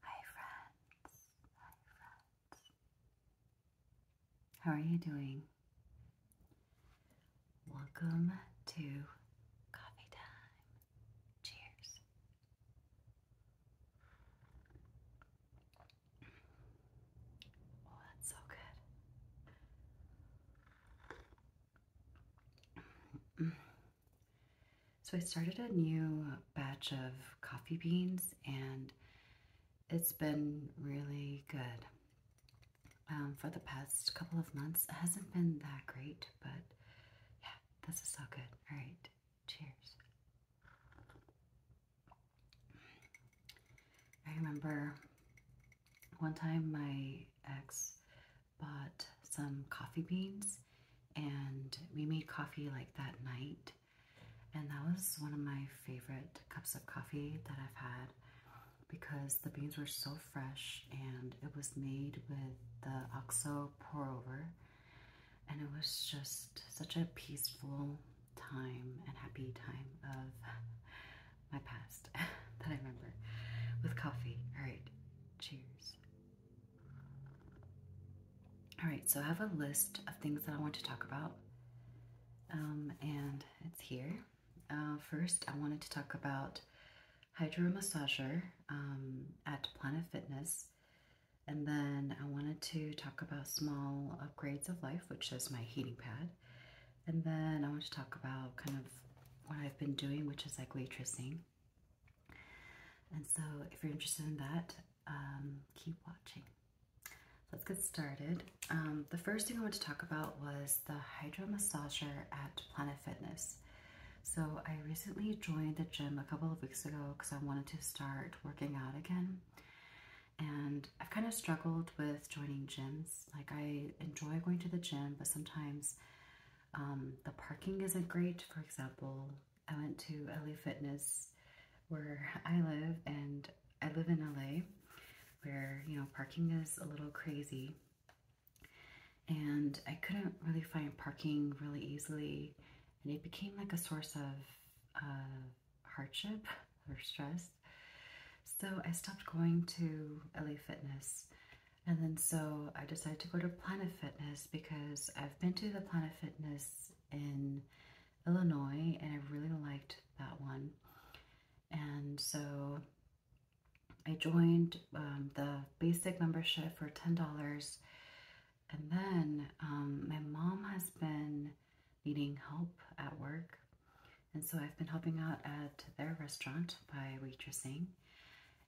Hi, friends. How are you doing? Welcome to coffee time. Cheers. Oh, that's so good. So I started a new batch of coffee beans and it's been really good. Um, for the past couple of months, it hasn't been that great, but yeah, this is so good. All right, cheers. I remember one time my ex bought some coffee beans and we made coffee like that night. And that was one of my favorite cups of coffee that I've had because the beans were so fresh and it was made with the OXO pour over. And it was just such a peaceful time and happy time of my past that I remember with coffee. All right, cheers. All right, so I have a list of things that I want to talk about, um, and it's here. Uh, first, I wanted to talk about Hydro Massager um, at Planet Fitness, and then I wanted to talk about small upgrades of life, which is my heating pad, and then I want to talk about kind of what I've been doing, which is like waitressing. And so if you're interested in that, um, keep watching. Let's get started. Um, the first thing I want to talk about was the Hydro Massager at Planet Fitness. So I recently joined the gym a couple of weeks ago because I wanted to start working out again. And I've kind of struggled with joining gyms. Like I enjoy going to the gym, but sometimes um, the parking isn't great. For example, I went to LA Fitness where I live, and I live in LA where, you know, parking is a little crazy. And I couldn't really find parking really easily, and it became like a source of uh, hardship or stress. So I stopped going to LA Fitness. And then so I decided to go to Planet Fitness because I've been to the Planet Fitness in Illinois and I really liked that one. And so I joined um, the basic membership for $10. And then um, my mom has been needing help at work. And so I've been helping out at their restaurant by waitressing.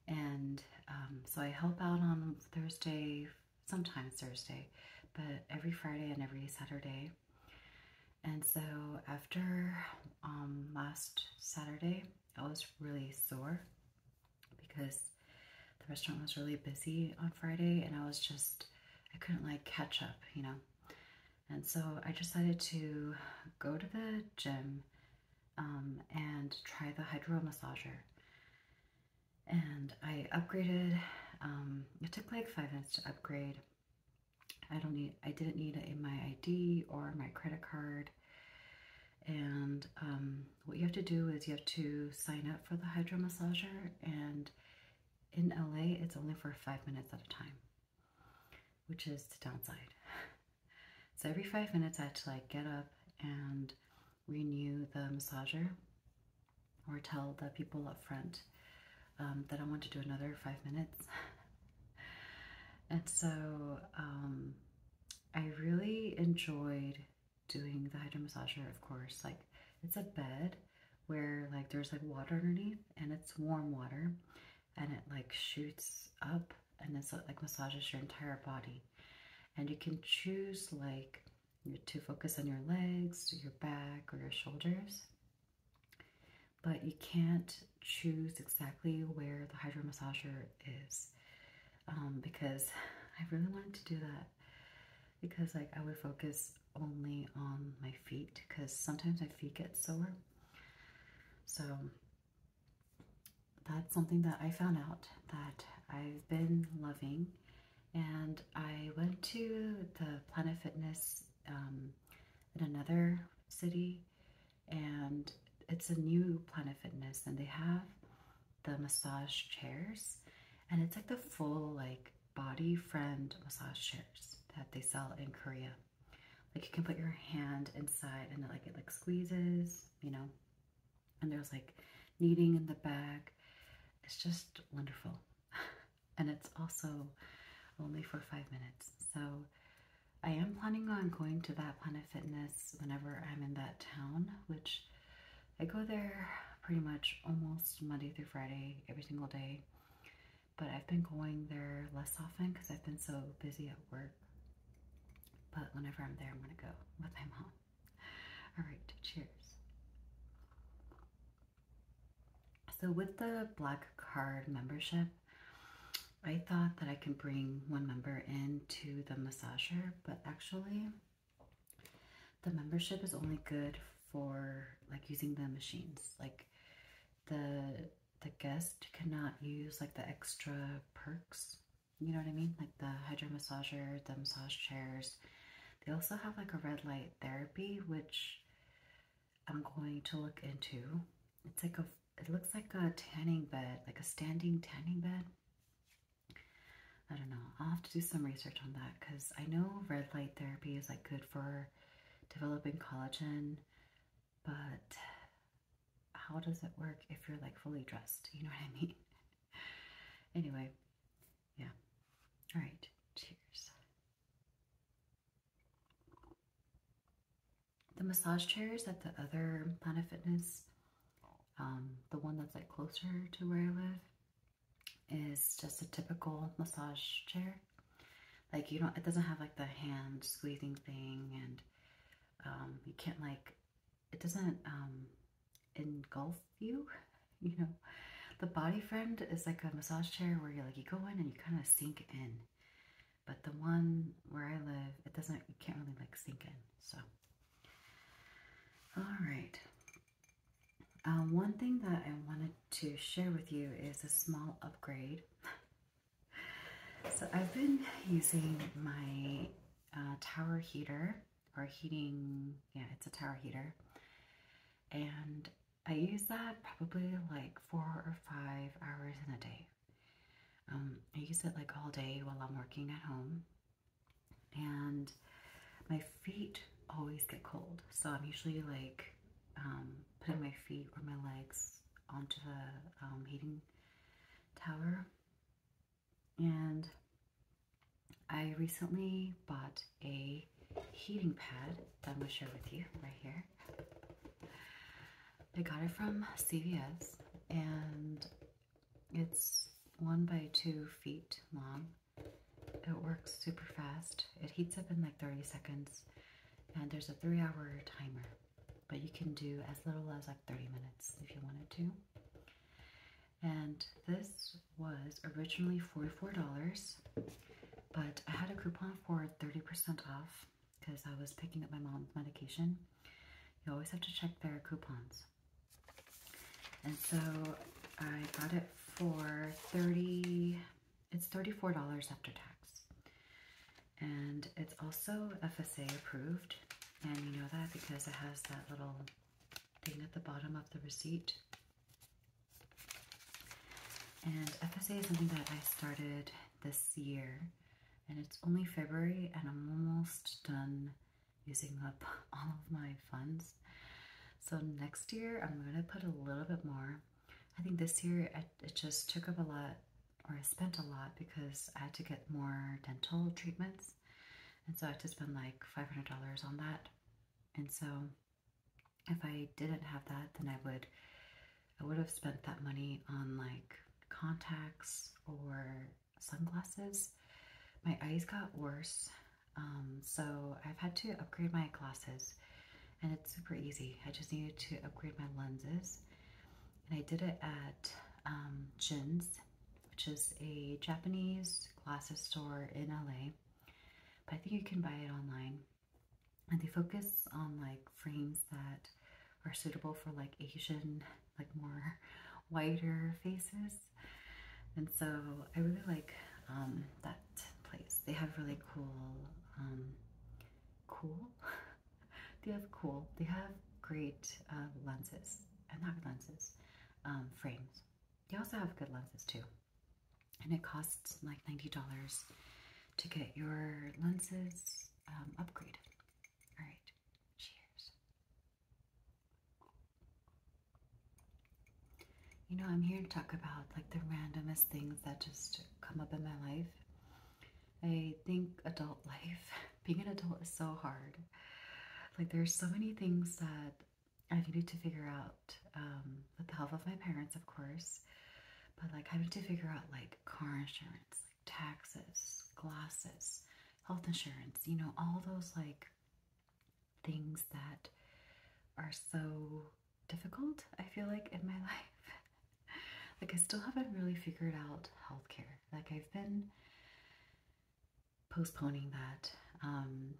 And um, so I help out on Thursday, sometimes Thursday, but every Friday and every Saturday. And so after um, last Saturday, I was really sore because the restaurant was really busy on Friday and I was just, I couldn't like catch up, you know. And so I decided to go to the gym um, and try the hydro massager. And I upgraded. Um, it took like five minutes to upgrade. I don't need. I didn't need a, my ID or my credit card. And um, what you have to do is you have to sign up for the hydro massager. And in LA, it's only for five minutes at a time, which is the downside. so every five minutes, I had to like get up and renew the massager or tell the people up front um, that I want to do another five minutes. and so um, I really enjoyed doing the hydro massager, of course. Like it's a bed where like there's like water underneath and it's warm water and it like shoots up and it's like massages your entire body. And you can choose like to focus on your legs, your back, or your shoulders. But you can't choose exactly where the hydro massager is um, because I really wanted to do that because like I would focus only on my feet because sometimes my feet get sore. So that's something that I found out that I've been loving. And I went to the Planet Fitness um, in another city, and it's a new Planet Fitness, and they have the massage chairs, and it's like the full like body friend massage chairs that they sell in Korea. Like you can put your hand inside, and it, like it like squeezes, you know, and there's like kneading in the bag. It's just wonderful. and it's also only for five minutes. So I am planning on going to that Planet Fitness whenever I'm in that town, which I go there pretty much almost Monday through Friday, every single day. But I've been going there less often because I've been so busy at work. But whenever I'm there, I'm going to go with my mom. All right, cheers. So with the Black Card membership, I thought that I could bring one member into the massager, but actually the membership is only good for like using the machines. Like the the guest cannot use like the extra perks you know what I mean? Like the hydro massager, the massage chairs. They also have like a red light therapy, which I'm going to look into. It's like a, it looks like a tanning bed, like a standing tanning bed. I don't know. I'll have to do some research on that because I know red light therapy is like good for developing collagen, but how does it work if you're like fully dressed? You know what I mean? anyway, yeah. All right, cheers. The massage chairs at the other Planet Fitness, um, the one that's like closer to where I live, is just a typical massage chair. Like you don't, it doesn't have like the hand squeezing thing, and um, you can't like it doesn't um, engulf you, you know. The body friend is like a massage chair where you like, you go in and you kind of sink in. But the one where I live, it doesn't, you can't really like sink in. So, all right. Um, one thing that I wanted to share with you is a small upgrade. so I've been using my uh, tower heater or heating, yeah, it's a tower heater. And I use that probably like four or five hours in a day. Um, I use it like all day while I'm working at home. And my feet always get cold. So I'm usually like um, putting my feet or my legs onto the um, heating tower and I recently bought a heating pad that I'm going to share with you right here. I got it from CVS and it's one by two feet long. It works super fast. It heats up in like 30 seconds and there's a three hour timer, but you can do as little as like 30 minutes if you wanted to and this was originally $44, but I had a coupon for 30% off because I was picking up my mom's medication. You always have to check their coupons. And so I got it for 30, it's $34 after tax. And it's also FSA approved. And you know that because it has that little Thing at the bottom of the receipt. And FSA is something that I started this year, and it's only February, and I'm almost done using up all of my funds. So next year, I'm going to put a little bit more. I think this year, it just took up a lot, or I spent a lot because I had to get more dental treatments. And so I had to spend like $500 on that. And so if I didn't have that, then I would, I would have spent that money on like contacts or sunglasses. My eyes got worse. Um, so I've had to upgrade my glasses and it's super easy. I just needed to upgrade my lenses and I did it at um, which is a Japanese glasses store in LA. But I think you can buy it online. And they focus on like frames that are suitable for like Asian, like more whiter faces. And so I really like um, that place. They have really cool, um, cool? they have cool, they have great uh, lenses, and uh, not lenses, um, frames. They also have good lenses too. And it costs like $90 to get your lenses um, upgraded. All right, cheers. You know, I'm here to talk about like the randomest things that just come up in my life. I think adult life being an adult is so hard. Like there's so many things that I need to figure out um, with the help of my parents, of course, but like having to figure out like car insurance, taxes, glasses, health insurance, you know, all those like things that are so difficult, I feel like, in my life. like, I still haven't really figured out healthcare. Like, I've been postponing that. Um,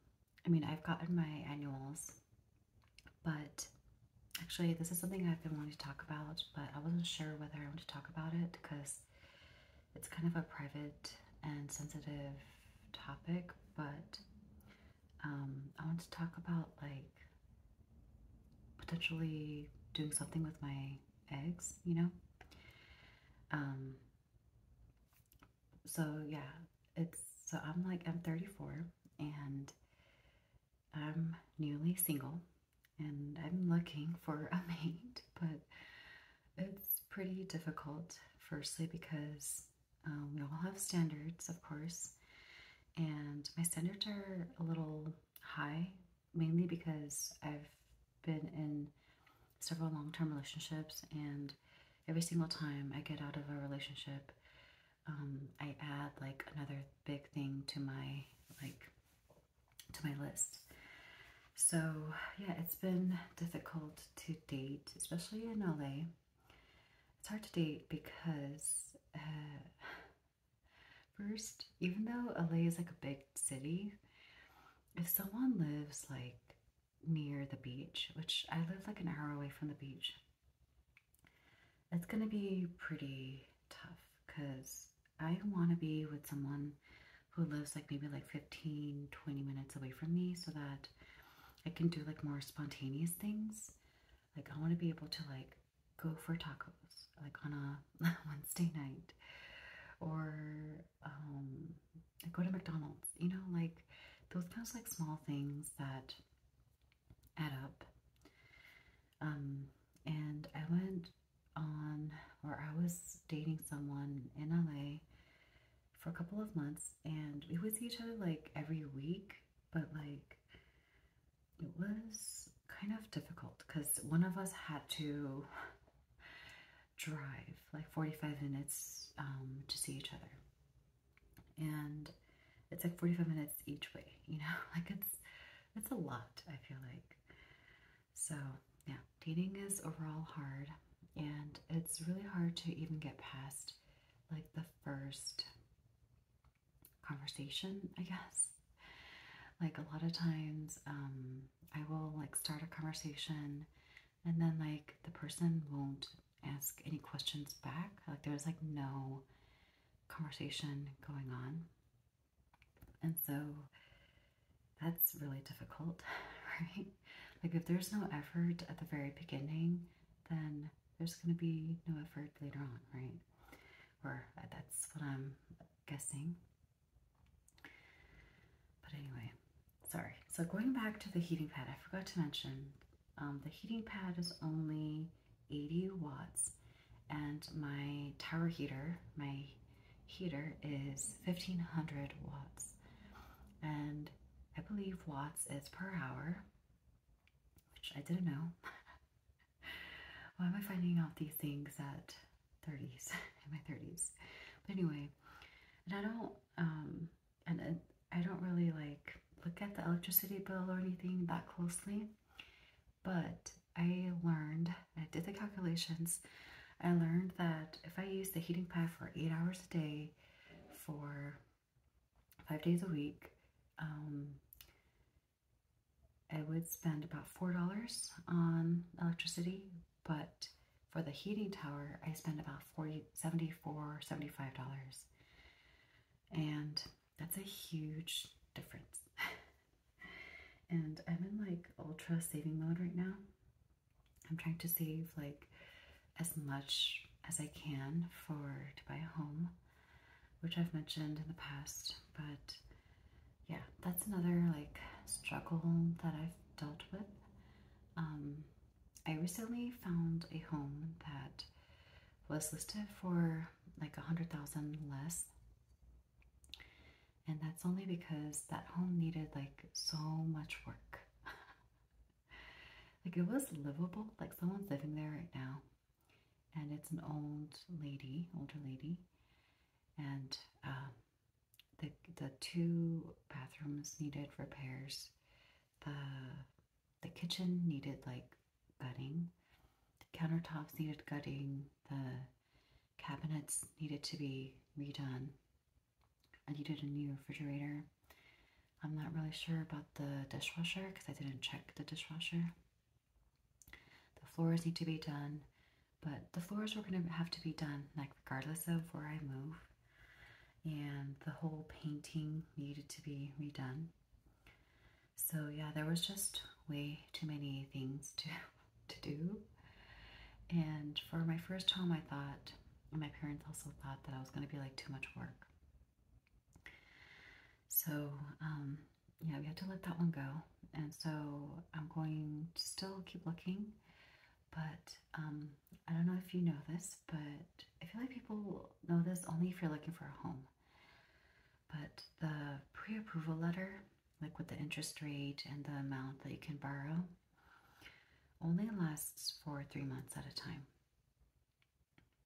I mean, I've gotten my annuals, but actually, this is something I've been wanting to talk about, but I wasn't sure whether I want to talk about it because it's kind of a private and sensitive topic, but um, I want to talk about like potentially doing something with my eggs, you know? Um, so yeah, it's so I'm like I'm 34 and I'm newly single and I'm looking for a mate, but it's pretty difficult firstly because um, we all have standards, of course, and my standards are a little high mainly because I've been in several long-term relationships and every single time I get out of a relationship, um, I add like another big thing to my like to my list. So yeah, it's been difficult to date, especially in LA. It's hard to date because uh, first, even though LA is like a big city, if someone lives like near the beach, which I live like an hour away from the beach, it's gonna be pretty tough because I want to be with someone who lives like maybe like 15, 20 minutes away from me so that I can do like more spontaneous things. Like I want to be able to like go for tacos like on a Wednesday night or um, go to McDonald's, you know, like those kinds of like small things that add up. Um, and I went on, or I was dating someone in LA for a couple of months, and we would see each other like every week, but like it was kind of difficult because one of us had to drive, like 45 minutes um, to see each other. And it's like 45 minutes each way, you know, like it's, it's a lot, I feel like. So yeah, dating is overall hard and it's really hard to even get past like the first conversation, I guess. Like a lot of times, um, I will like start a conversation and then like the person won't ask any questions back. Like there's like no conversation going on. And so that's really difficult, right? Like if there's no effort at the very beginning, then there's going to be no effort later on, right? Or uh, that's what I'm guessing. But anyway, sorry. So going back to the heating pad, I forgot to mention um, the heating pad is only 80 watts, and my tower heater, my heater is 1500 watts, and I believe watts is per hour, which I didn't know. Why am I finding out these things that? 30s, in my 30s. But anyway, and I don't, um, and I don't really like look at the electricity bill or anything that closely, but I learned, I did the calculations, I learned that if I use the heating pad for eight hours a day for five days a week, um, I would spend about $4 on electricity, but for the heating tower, I spend about 40 74 $75. And that's a huge difference. and I'm in like ultra saving mode right now. I'm trying to save like as much as I can for to buy a home, which I've mentioned in the past, but yeah, that's another like struggle that I've dealt with um, I recently found a home that was listed for like a hundred thousand less, and that's only because that home needed like so much work. like it was livable, like someone's living there right now, and it's an old lady, older lady, and uh, the, the two bathrooms needed repairs. The, the kitchen needed like gutting. The countertops needed gutting. The cabinets needed to be redone. I needed a new refrigerator. I'm not really sure about the dishwasher because I didn't check the dishwasher. The floors need to be done, but the floors were going to have to be done like regardless of where I move and the whole painting needed to be redone. So yeah, there was just way too many things to to do. And for my first home, I thought my parents also thought that I was going to be like too much work. So um, yeah, we had to let that one go. And so I'm going to still keep looking, but um, I don't know if you know this, but I feel like people know this only if you're looking for a home. But the pre approval letter, like with the interest rate and the amount that you can borrow, only lasts for three months at a time.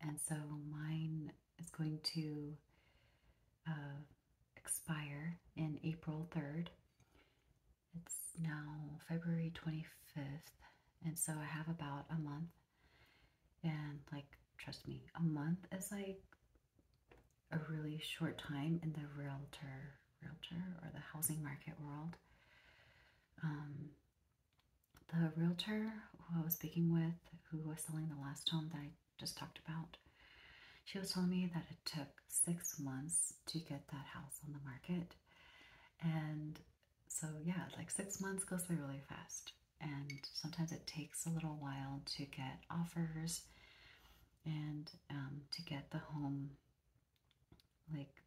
And so mine is going to uh, expire in April 3rd. It's now February 25th, and so I have about a month. And, like, trust me, a month is like a really short time in the realtor, realtor or the housing market world. Um, the realtor who I was speaking with, who was selling the last home that I just talked about, she was telling me that it took six months to get that house on the market. And so, yeah, like six months goes by really fast. And sometimes it takes a little while to get offers and um, to get the home. Like,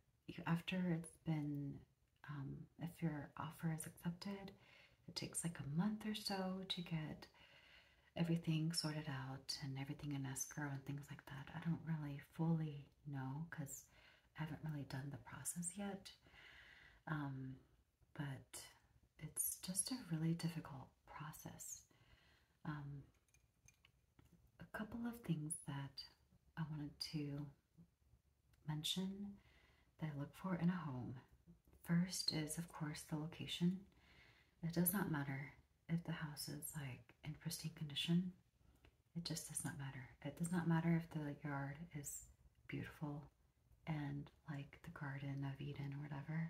after it's been, um, if your offer is accepted, it takes like a month or so to get everything sorted out and everything in escrow and things like that. I don't really fully no, because I haven't really done the process yet. Um, but it's just a really difficult process. Um, a couple of things that I wanted to mention that I look for in a home. First is, of course, the location. It does not matter if the house is like in pristine condition. It just does not matter. It does not matter if the yard is beautiful and like the Garden of Eden or whatever.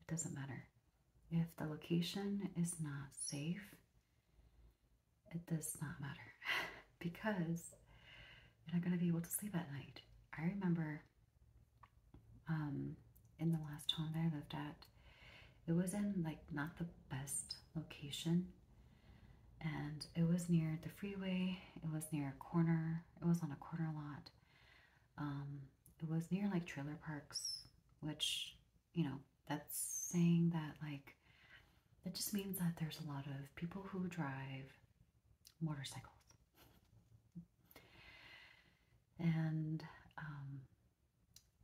It doesn't matter. If the location is not safe, it does not matter because you're not going to be able to sleep at night. I remember um, in the last home that I lived at, it was in like not the best location and it was near the freeway, it was near a corner, it was on a corner lot. Um, it was near like trailer parks, which, you know, that's saying that like that just means that there's a lot of people who drive motorcycles. And um,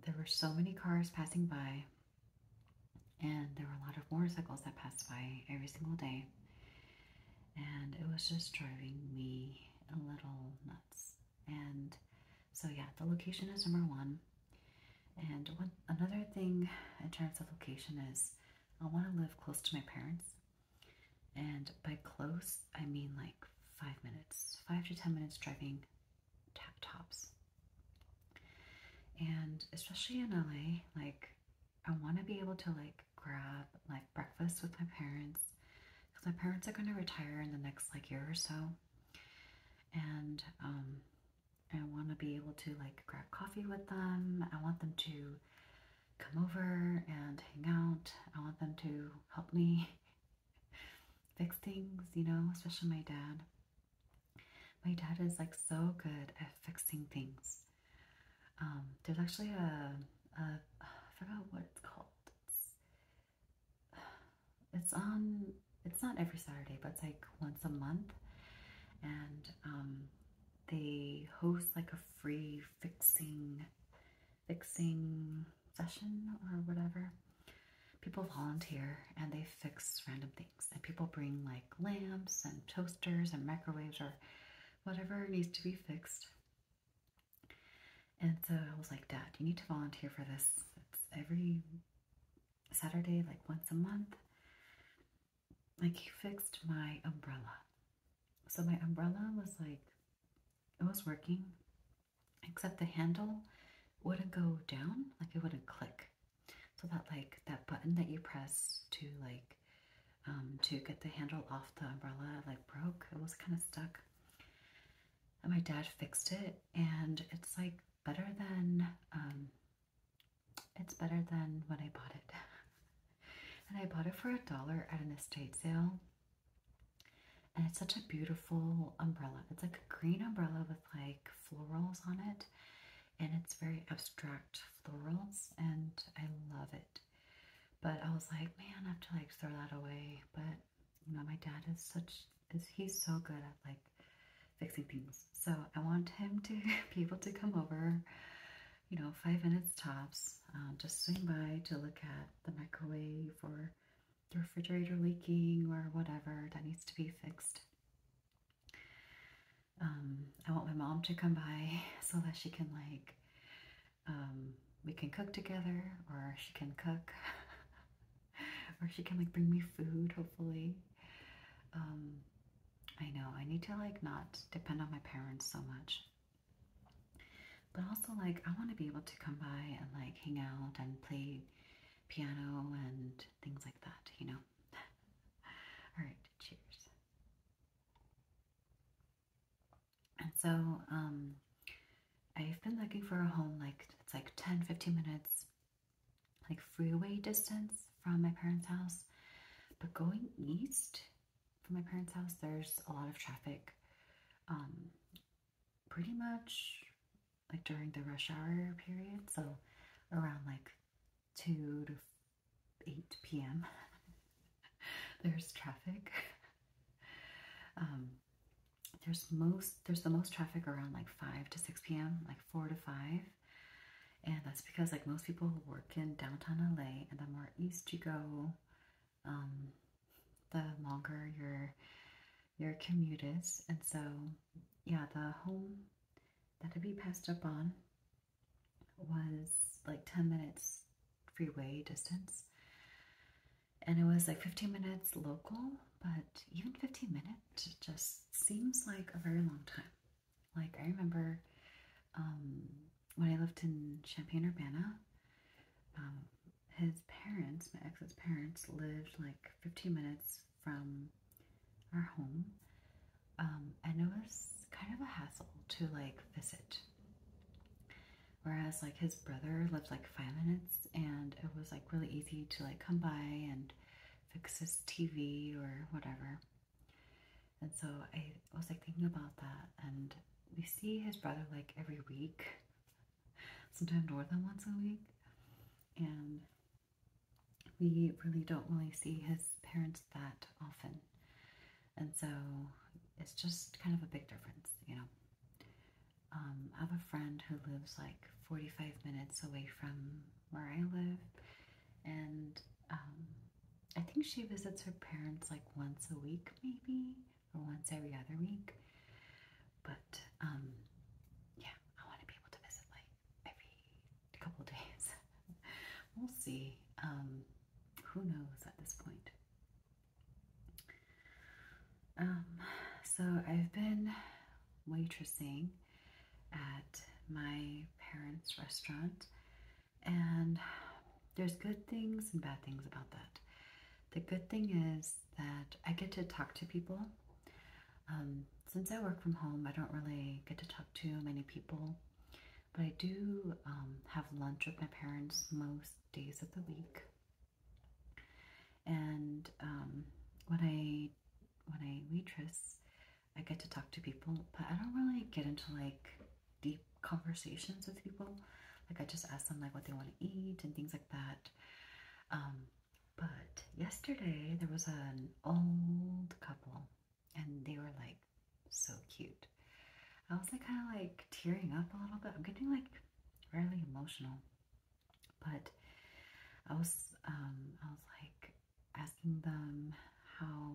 there were so many cars passing by, and there were a lot of motorcycles that passed by every single day, and it was just driving me a little nuts. And so, yeah, the location is number one. And one, another thing in terms of location is I want to live close to my parents. And by close, I mean like five minutes, five to ten minutes driving tap tops. And especially in LA, like I want to be able to like grab like breakfast with my parents because my parents are going to retire in the next like year or so. And um I want to be able to like grab coffee with them. I want them to come over and hang out. I want them to help me fix things, you know, especially my dad. My dad is like so good at fixing things. Um, there's actually a, a I forgot what it's called. It's, on. It's not every Saturday, but it's like once a month, and um, they host like a free fixing, fixing session or whatever people volunteer and they fix random things. And people bring like lamps and toasters and microwaves or whatever needs to be fixed. And so I was like, Dad, you need to volunteer for this. It's every Saturday, like once a month. Like, he fixed my umbrella. So my umbrella was like, it was working, except the handle wouldn't go down, like it wouldn't click. So that like that button that you press to like um, to get the handle off the umbrella like broke. It was kind of stuck. And my dad fixed it and it's like better than um, it's better than when I bought it. and I bought it for a dollar at an estate sale. And it's such a beautiful umbrella. It's like a green umbrella with like florals on it, and it's very abstract florals, and I love it. But I was like, man, I have to like throw that away. But you know, my dad is such is he's so good at like fixing things. So I want him to be able to come over, you know, five minutes tops, uh, just swing by to look at the microwave or the refrigerator leaking or whatever that needs to be fixed. Um, I want my mom to come by so that she can like, um, we can cook together or she can cook or she can like bring me food hopefully. Um, I know I need to like not depend on my parents so much. But also like I want to be able to come by and like hang out and play piano and things like that, you know. All right, cheers. And so um, I've been looking for a home like it's like 10 15 minutes, like freeway distance from my parents' house. But going east from my parents' house, there's a lot of traffic. Um, pretty much like during the rush hour period, so around like 2 to 8 p.m. there's traffic. Um, there's most there's the most traffic around like 5 to 6 p.m., like 4 to 5. And that's because like most people work in downtown LA and the more east you go, um, the longer your your commute is. And so yeah, the home that I'd be passed up on was like 10 minutes freeway distance. And it was like 15 minutes local, but even 15 minutes just seems like a very long time. Like I remember um, when I lived in Champaign-Urbana, um, his parents, my ex's parents, lived like 15 minutes from our home, um, and it was kind of a hassle to like visit. Whereas like his brother lived like five minutes, and it was like really easy to like come by and fix his TV or whatever. And so I was like thinking about that, and we see his brother like every week, sometimes more than once a week, and we really don't really see his parents that often. And so it's just kind of a big difference, you know. Um, I have a friend who lives like 45 minutes away from where I live, and um, I think she visits her parents like once a week, maybe, or once every other week. But um, yeah, I want to be able to visit like every couple days. we'll see. Um, who knows at this point? Um, so I've been waitressing at my parents' restaurant, and there's good things and bad things about that. The good thing is that I get to talk to people. Um, since I work from home, I don't really get to talk to many people, but I do um, have lunch with my parents most days of the week. And um, when I when I waitress, I get to talk to people, but I don't really get into like deep conversations with people. Like I just ask them like what they want to eat and things like that. But yesterday there was an old couple and they were like so cute. I was like kind of like tearing up a little bit. I'm getting like really emotional. But I was um I was like asking them how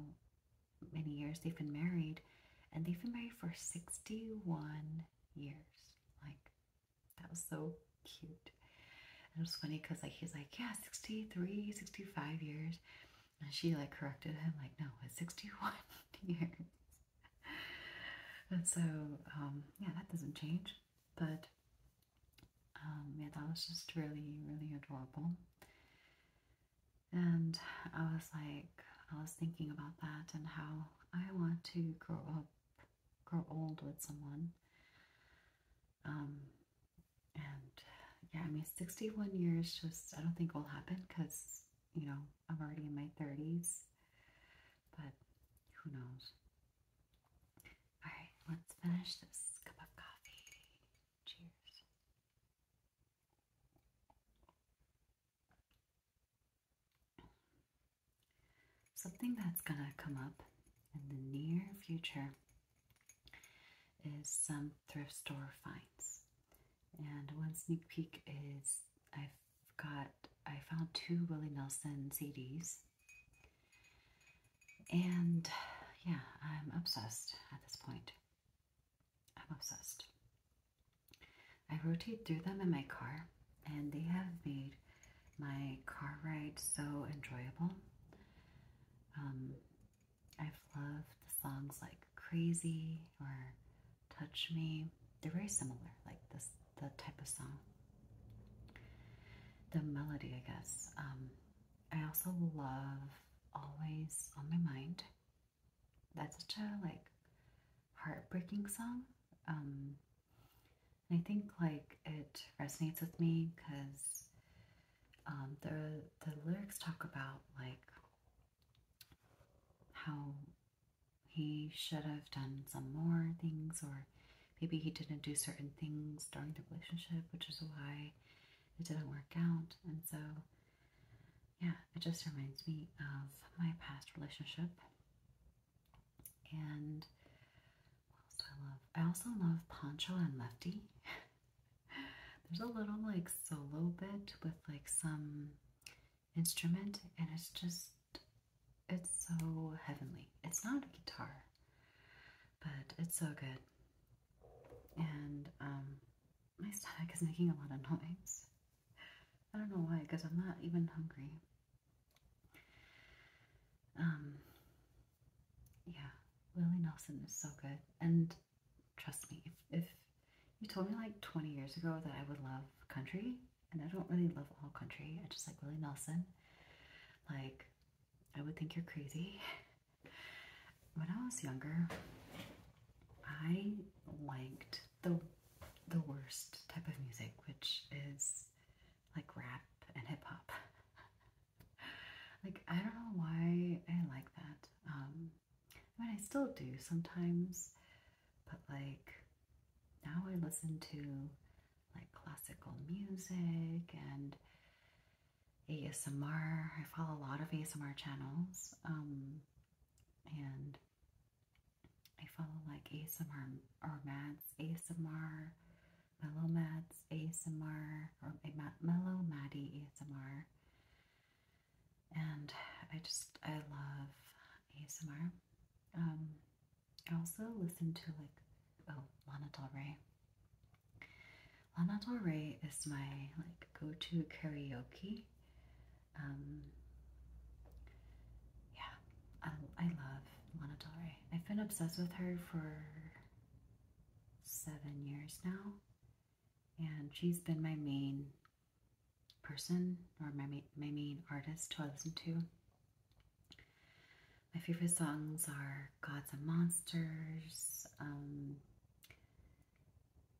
many years they've been married and they've been married for 61 years. Like that was so cute. And it was funny because like he's like, yeah, 63, 65 years. And she like corrected him, like, no, it's 61 years. and so, um, yeah, that doesn't change. But um, yeah, that was just really, really adorable. And I was like, I was thinking about that and how I want to grow up grow old with someone. Um, and yeah, I mean, 61 years just, I don't think will happen because, you know, I'm already in my 30s. But who knows? All right, let's finish this cup of coffee. Cheers. Something that's going to come up in the near future is some thrift store finds. And one sneak peek is I've got, I found two Willie Nelson CDs. And yeah, I'm obsessed at this point. I'm obsessed. I rotate through them in my car, and they have made my car ride so enjoyable. Um, I've loved the songs like Crazy or Touch Me. They're very similar, like this the type of song. The melody, I guess. Um, I also love Always on My Mind. That's such a like heartbreaking song. Um, I think like it resonates with me because um, the the lyrics talk about like how he should have done some more things or maybe he didn't do certain things during the relationship, which is why it didn't work out. And so yeah, it just reminds me of my past relationship and what else I love? I also love Poncho and Lefty. There's a little like solo bit with like some instrument, and it's just it's so heavenly. It's not a guitar, but it's so good. And um, my stomach is making a lot of noise. I don't know why, because I'm not even hungry. Um, yeah, Willie Nelson is so good. And trust me, if, if you told me like 20 years ago that I would love country, and I don't really love all country, I just like Willie Nelson, like, I would think you're crazy. When I was younger, I liked the the worst type of music, which is like rap and hip hop. like I don't know why I like that. Um, I mean, I still do sometimes, but like now I listen to like classical music and ASMR. I follow a lot of ASMR channels, um, and I follow like ASMR or mats ASMR. Mellow Mads ASMR or Mellow Maddie ASMR. And I just, I love ASMR. Um, I also listen to like, oh, Lana Del Rey. Lana Del Rey is my like go-to karaoke. Um, yeah, I, I love Lana Del Rey. I've been obsessed with her for seven years now, and she's been my main person or my, my main artist to listen to. My favorite songs are Gods and Monsters, um,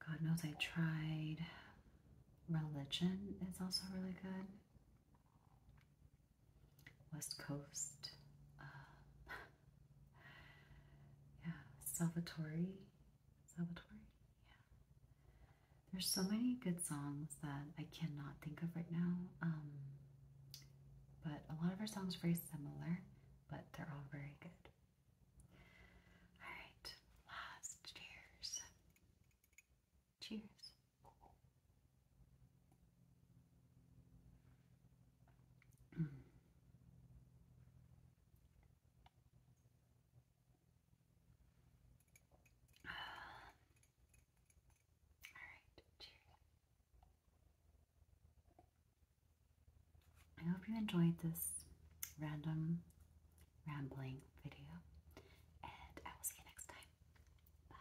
God Knows I Tried, Religion is also really good. West Coast, uh, yeah, Salvatore, Salvatore, yeah. There's so many good songs that I cannot think of right now, um, but a lot of our songs are very similar, but they're all very good. All right, last cheers. Cheers. I hope you enjoyed this random rambling video, and I will see you next time. Bye.